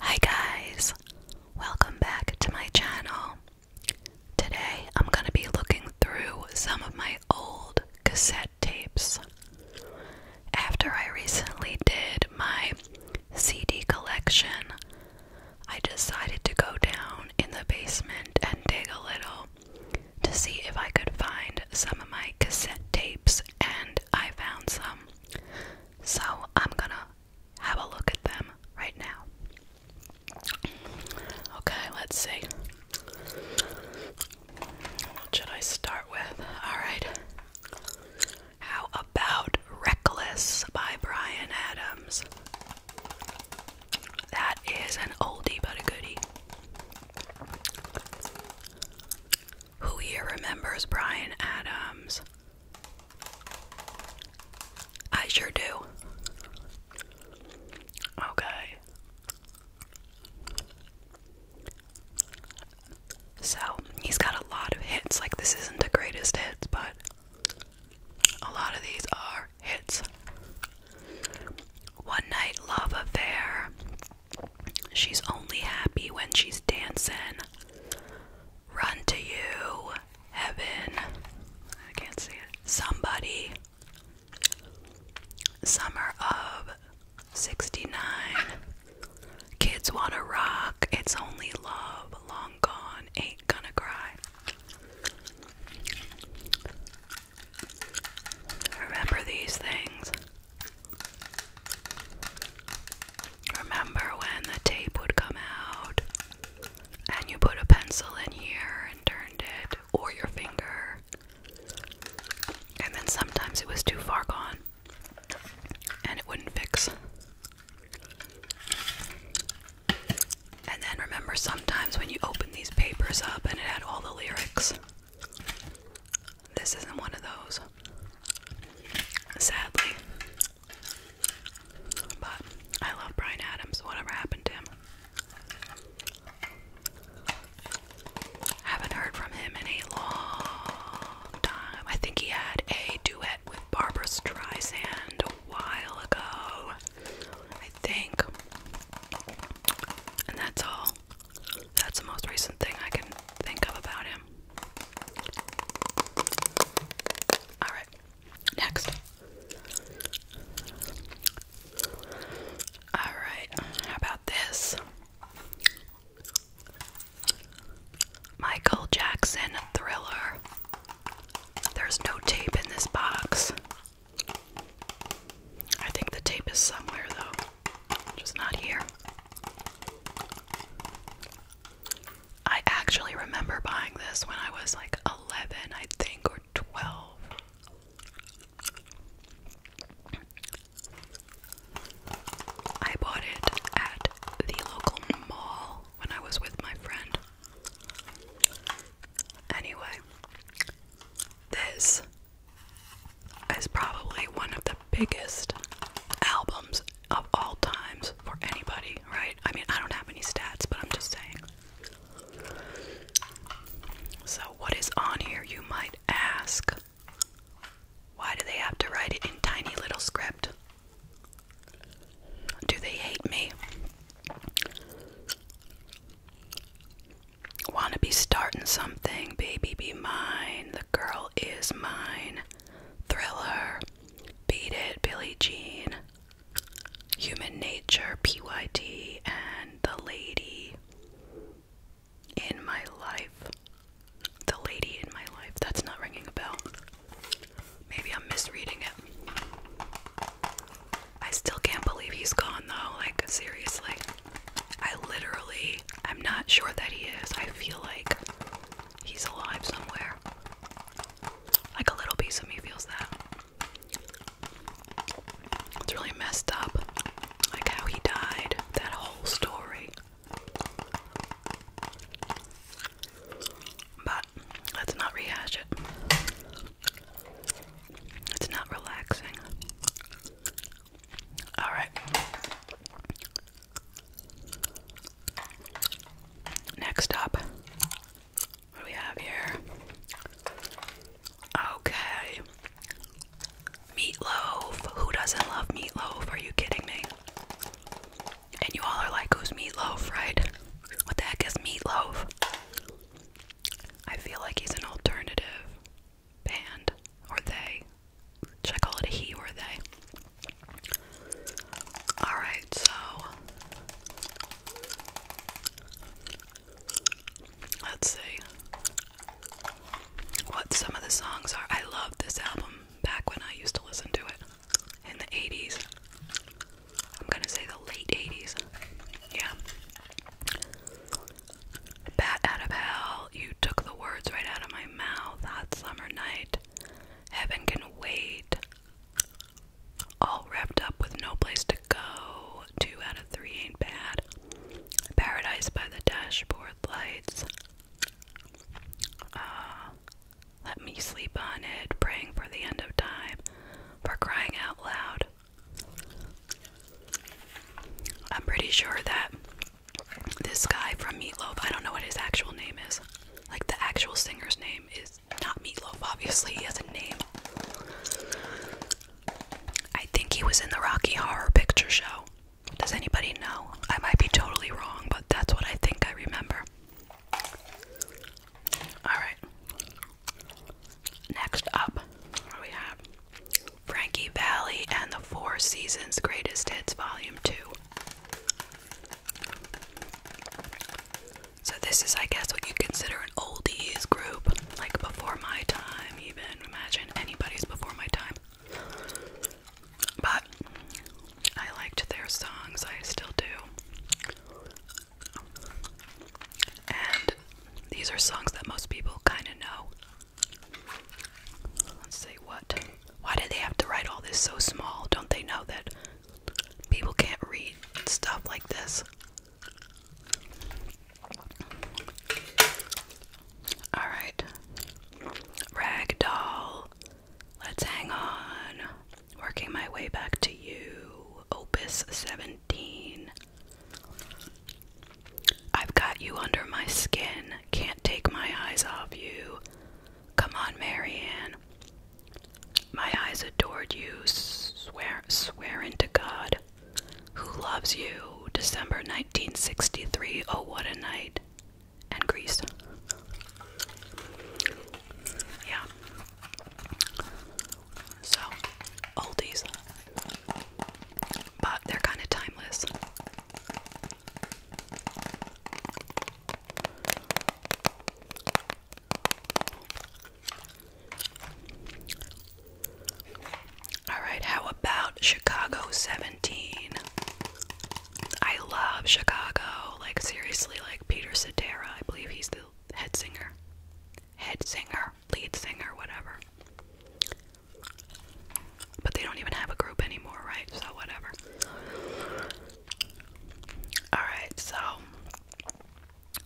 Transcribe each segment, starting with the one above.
Hi guys, welcome back to my channel. Today I'm going to be looking through some of my old cassette tapes. After I recently did my CD collection, I decided to go down in the basement and dig a little to see if I could find some of my cassette tapes and I found some. So I'm gonna have a look at them right now. Okay, let's see. should I start with? Alright. How about Reckless by Brian Adams? That is an oldie but a goodie. Who here remembers Brian Adams? I sure do. Okay. So, he's got a lot of hits. Like, this isn't the greatest hits, but a lot of these are hits. One Night Love Affair, She's only happy when she's dancing. Run to you, heaven. I can't see it. Somebody. Summer of 69. Kids wanna rock. It's only love. Long gone. Ain't gonna cry. Remember these things. Remember when the tape would come out and you put a pencil in here and turned it, or your finger, and then sometimes it was too far gone and it wouldn't fix. And then remember sometimes when you open these papers up and it had all the lyrics. This isn't one of those. Sadly. But I love Brian Adams, whatever happened to him. Haven't heard from him in a long time. I think he had a duet with Barbara Streisand a while ago. I think. And that's all. That's the most recent thing I can think of about him. Alright, next. Alright, how about this? Michael Jackson Thriller. There's no tape in this box. I think the tape is somewhere though just not here. I actually remember buying this when I was like 11, I think, or 12. I bought it at the local mall when I was with my friend. Anyway, this is probably one of the biggest albums of all times for anybody, right? I mean, I don't have any stats, but I'm just saying. So, what is on here, you might ask? Why do they have to write it in tiny little script? Do they hate me? Wanna be starting something, baby be mine, the girl is Mine, Thriller, Beat It, Billie Jean, Human Nature, PYT, and The Lady in My Life. The Lady in My Life. That's not ringing a bell. Maybe I'm misreading it. I still can't believe he's gone though, like, seriously. I literally, I'm not sure that he is. I feel like he's alive somewhere. Like a little piece of me feels that. It's really messed up. Like how he died, that whole story. But let's not rehash it. It's not relaxing. All right. Next up, we have here? Okay. Meatloaf. Who doesn't love meatloaf? Are you kidding me? And you all are like, who's meatloaf, right? What the heck is meatloaf? I feel like he's an alternative band or they. Should I call it he or they? Alright, so let's see what some of the songs are. I love this album back when I used to listen to it in the 80s. I'm gonna say the late 80s. Yeah. Bat out of hell, you took the words right out of my mouth. that summer night, heaven can wait. All wrapped up with no place to go. Two out of three ain't bad. Paradise by the dashboard lights. Ah, let me sleep on it, praying for the end of time, for crying out loud. I'm pretty sure that this guy from Meatloaf, I don't know what his actual name is. Like the actual singer's name is not Meatloaf, obviously, he has a name. I think he was in the Rocky Horror Picture Show. Does anybody know? I might be totally wrong, but that's what I think I remember. Alright. Next up, we have? Frankie Valley and the Four Seasons Greatest Hits Volume 2. So, this is, I guess, what you consider an oldies group, like before my time, even. Imagine anybody's before my time. But I liked their songs, I still do. And these are songs that most people kind of know. Let's see what. Why did they have to write all this so small? Don't they know that people can't read stuff like this? Alright. Ragdoll. Let's hang on. Working my way back to you. Opus 17. I've got you under my skin, can't take my eyes off you. Come on, Marianne. My eyes adored you, swear, swear into God. Who loves you? December 1963. Oh, what a night. And Greece. Yeah. So, oldies but they're kind of timeless. All right, how about Chicago 17? I love Chicago. Like seriously, like Peter Cetera, I believe he's the head singer. Head singer lead singer, whatever. But they don't even have a group anymore, right? So, whatever. Alright, so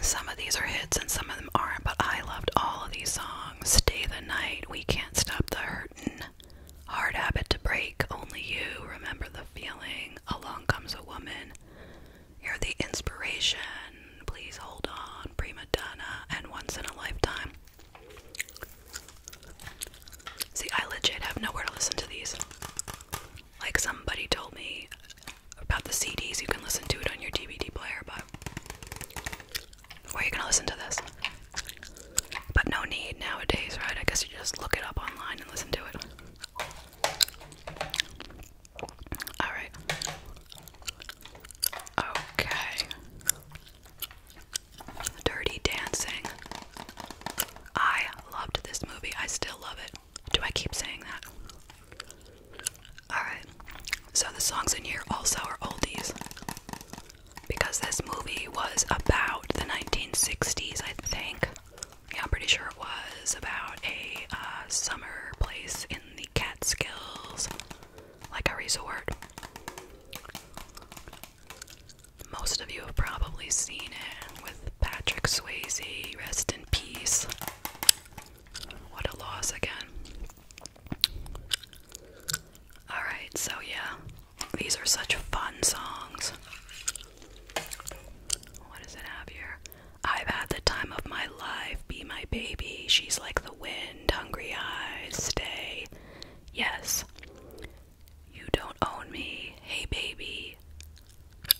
some of these are hits and some of them aren't, but I loved all of these songs. Stay the Night, We Can't Stop the Hurtin', Hard Habit to Break, Only You, Remember the Feeling, Along Comes a Woman, You're the Inspiration, Please Hold On, Prima Donna, and Once in a Lifetime. See, I legit have nowhere to listen to these. Like, somebody told me about the CDs, you can listen to it on your DVD player, but where are you gonna listen to this? But no need nowadays, right? I guess you just look it up online and listen to it. All right. Okay. Dirty Dancing. I loved this movie. I still love it. Do I keep saying that? Alright. So the songs in here also are oldies. Because this movie was about the 1960s, I think. Yeah, I'm pretty sure it was about a uh, summer place in the Catskills, like a resort. Most of you have probably seen it with Patrick Swayze, rest in peace. What a loss again. Alright, so yeah, these are such fun songs. What does it have here? I've had the time of my life, be my baby, she's like the wind, hungry eyes, stay. Yes. You don't own me, hey baby.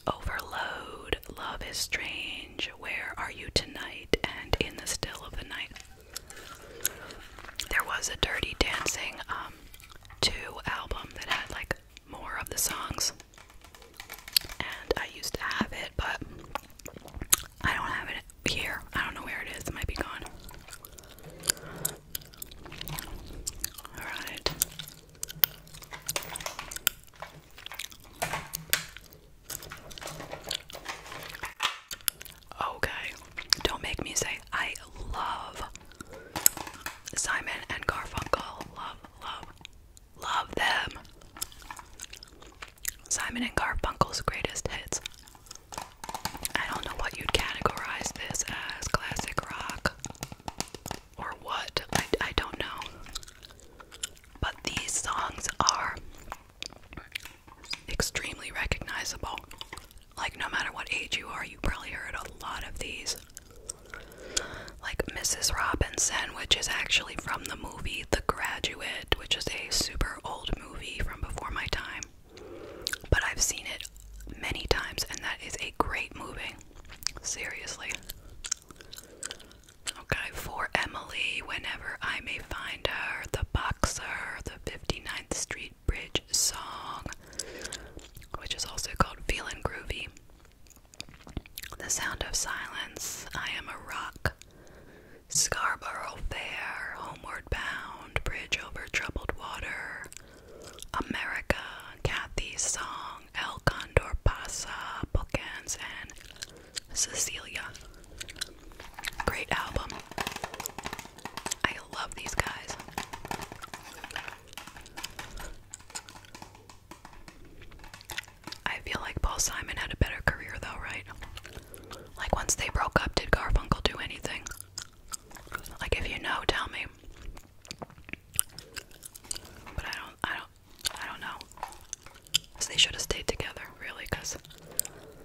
Overload, love is strange. Where are you tonight and in the still of the night? There was a Dirty Dancing um, 2 album that had like more of the songs and I used to have it, but I don't have it here. I don't know where it is. It might be gone. All right. Okay, don't make me say I love Simon and Garfunkel. Love, love, Love them. Simon and Garfunkel's greatest hits. I don't know what you'd categorize this as classic rock or what. I, I don't know. But these songs are extremely recognizable. Like, no matter what age you are, you probably heard a lot of these like Mrs. Robinson, which is actually from the movie The Graduate, which is a super old movie from before my time. But I've seen it many times, and that is a great movie. Seriously. Okay, for Emily, whenever I may find her, the boxer, the 59th Street Bridge song, which is also called Feelin' Groovy. The sound of silence. I am a rock. Scarborough Fair, homeward bound, bridge over troubled water. America, Kathy's song, El Condor Pasa, Bookends, and Cecilia. Great album. I love these guys. I feel like Paul Simon had a better career though, right? Like once they broke up, did Garfunkel do anything? Like if you know, tell me. But I don't I don't I don't know. they should have stayed together, really, because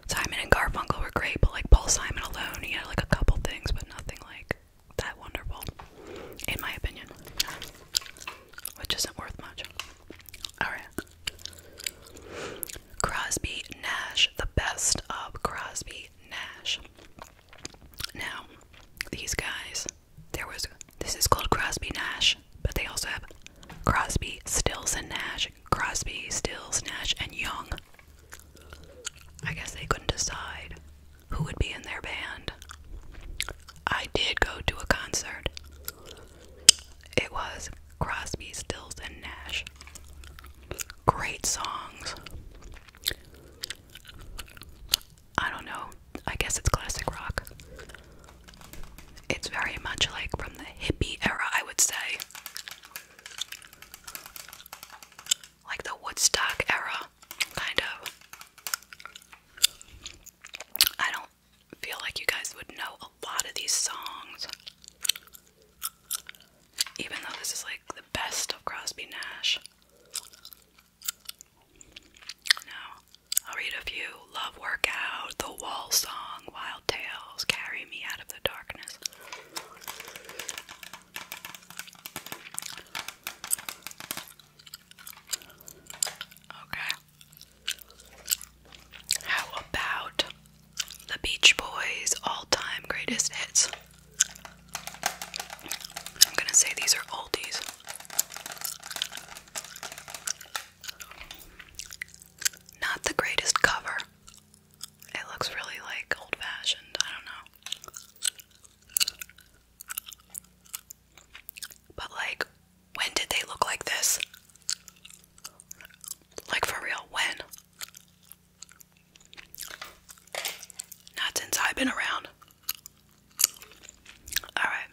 Simon and Garfunkel were great, but like Paul Simon alone, he had like a couple things, but nothing like that wonderful, in my opinion which isn't worth much. Alright. Crosby Nash, the best of Crosby Nash. Now, these guys, there was this is called Crosby Nash, but they also have Crosby, Stills, and Nash. Crosby, Stills, Nash, and Young. I guess they couldn't decide who would be in their band. I did go to a concert. It was Crosby, Stills, and Nash. Great songs. I don't know. I guess it's classic rock. It's very much like from the hippie era, I would say. Like the Woodstock era, kind of. I don't feel like you guys would know a lot of these songs. Even though this is like the best of Crosby Nash. Now, I'll read a few Love Workout, The Wall Song, Wild Tales, Carry Me Out of the Darkness. Okay. How about the Beach Boys' all time greatest hits? I'm gonna say these are oldies. Not the greatest cover. It looks really like old fashioned. I don't know. But like, when did they look like this? Like, for real, when? Not since I've been around. Alright.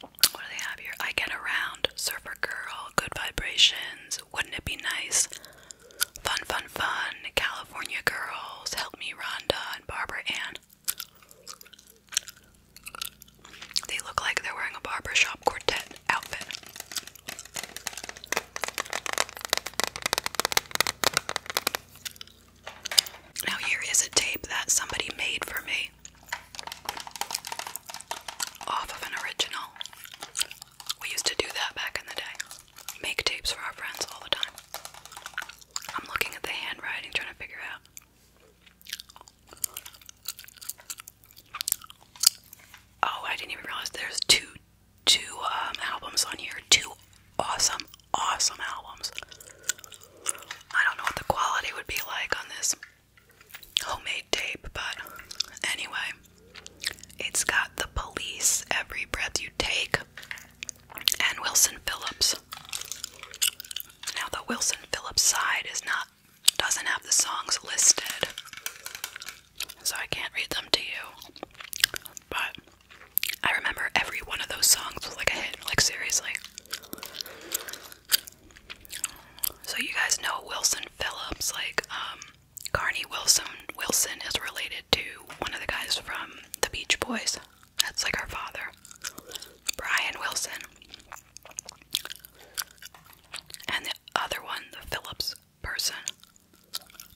What do they have here? I get around. Surfer girl. Good vibrations. Wouldn't it be nice? Fun, fun, fun. California girls. Help me, Rhonda and Barbara Ann. They look like they're wearing a barbershop quartet outfit. Now, here is a tape that somebody made for me off of an original. We used to do that back in the day. Make tapes for our friends all the time. I'm looking at the handwriting trying to figure out. Oh, I didn't even realize there's two two um, albums on here. Two awesome, awesome albums. I don't know what the quality would be like on this homemade tape, but anyway, it's got the police every breath you take and Wilson Phillips. Now the Wilson Phillips side is not doesn't have the songs listed. So I can't read them to you. But I remember every one of those songs was like a hit, like seriously. So you guys know Wilson Phillips, like um, Carney Wilson Wilson is related to one of the guys from the Beach Boys. That's like our father. Brian Wilson. And the other one, the Phillips person.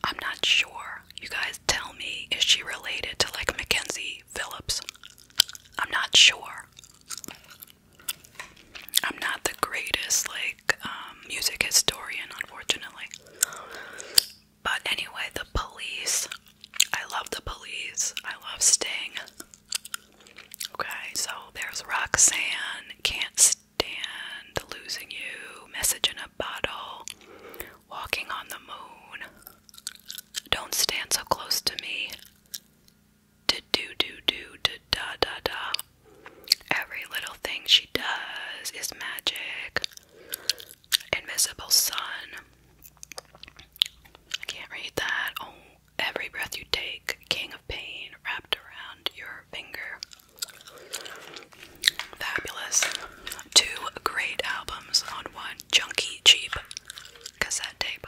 I'm not sure. You guys tell me, is she related to like Mackenzie Phillips? I'm not sure. I'm not the greatest like um, music historian, unfortunately. But anyway, the police. I love the police. I love Sting. Okay, so there's Roxanne. Can't stand losing you. Message in a bottle. Walking on the moon. Don't stand so close to me. Do do do do da da da da. Every little thing she does is magic. Invisible Sun. I can't read that. Oh, every breath you take, King of Pain wrapped around your finger. Fabulous. Two great albums on one junky, cheap cassette tape.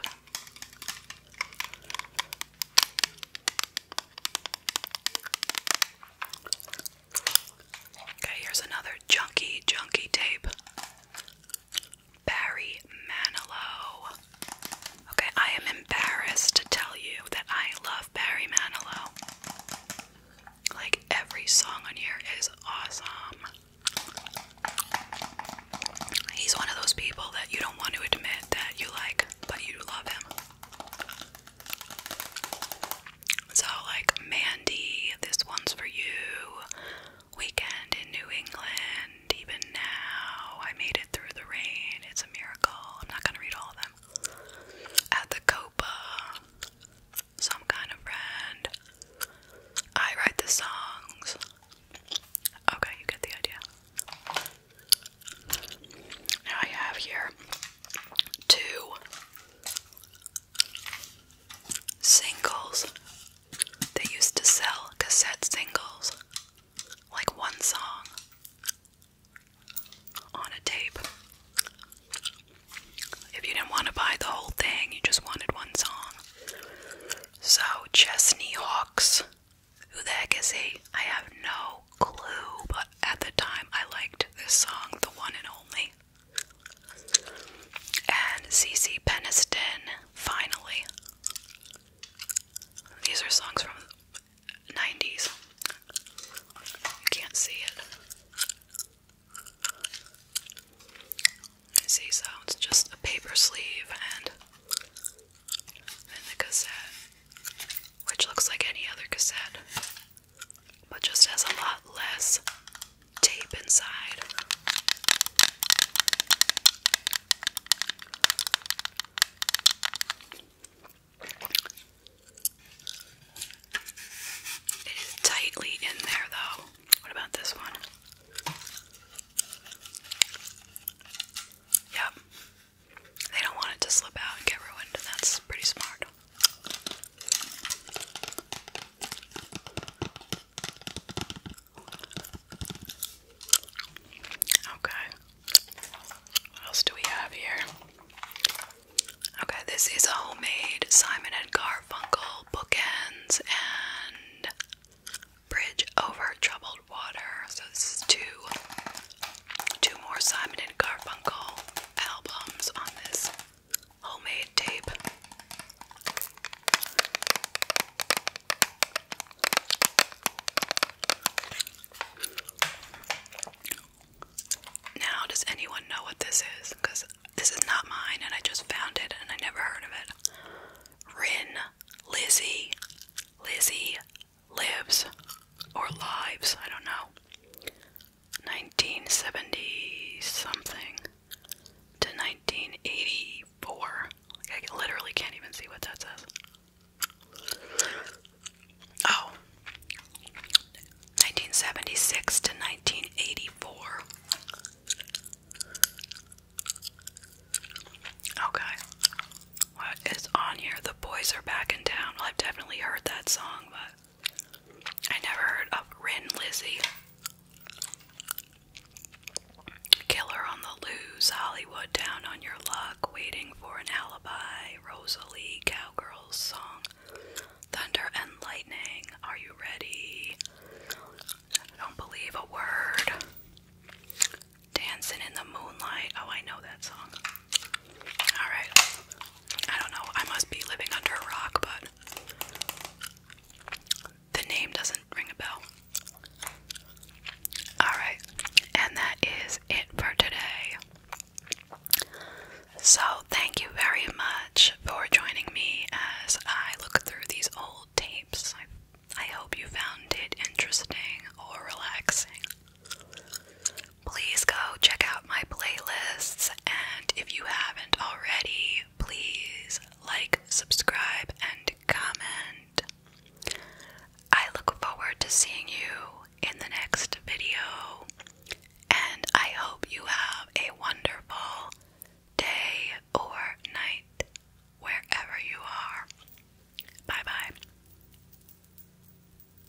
Okay, here's another junky, junky tape. Barry Manilow. Okay, I am embarrassed to tell you that I love Barry Manilow. Like every song on here is awesome. He's one of those people that you don't want to admit that you like, but you love him. So, like Mandy, this one's for you. Weekend in New England, even now. I made it through the rain. It's a miracle. I'm not going to read all of them. At the Copa, some kind of friend. I write the songs. Okay, you get the idea. Now I have here two singles. They used to sell cassette singles, like one song on a tape. If you didn't want to buy the whole thing, you just wanted one song. So, Chesney Hawks. Who the heck is he? I have no clue, but at the time I liked this song, The One and Only. And CC Peniston, finally. These are songs from the 90s. I can't see it. You see, so it's just a paper sleeve and the cassette, which looks like any other cassette but just has a lot less tape inside. It is tightly in there though. What about this one? Yep. They don't want it to slip out and get ruined, and that's pretty smart. Okay. What else do we have here? Okay, this is a homemade Simon and Garfunkel bookends and bridge over troubled water. So this is two two more Simon and Garfunkel albums on this homemade tape. Now, does anyone know what this is? Because this is not mine, and I just found it, and I never heard of it. Rin, Lizzie, Lizzie lives, or lives, I don't know. 1970 something to 1984. Like I literally can't even see what that says. Oh. 1976 to 1984. Okay. What is on here? The boys are back in town. I've definitely heard that song, but I never heard of Ren Lizzie. Killer on the loose, Hollywood down on your luck, waiting for an alibi, Rosalie, cowgirls song, thunder and lightning, are you ready? I don't believe a word. Dancing in the moonlight, oh I know that song. Alright, I don't know, I must be living under a rock, but the name doesn't ring a bell. Alright, and that is it for today. So, thank you very much for joining me as I look through these old tapes. I, I hope you found it interesting or relaxing. Please go check out my playlists, and if you haven't already, please like, subscribe, and comment. I look forward to seeing you in the next video, and I hope you have a wonderful day or night wherever you are. Bye bye.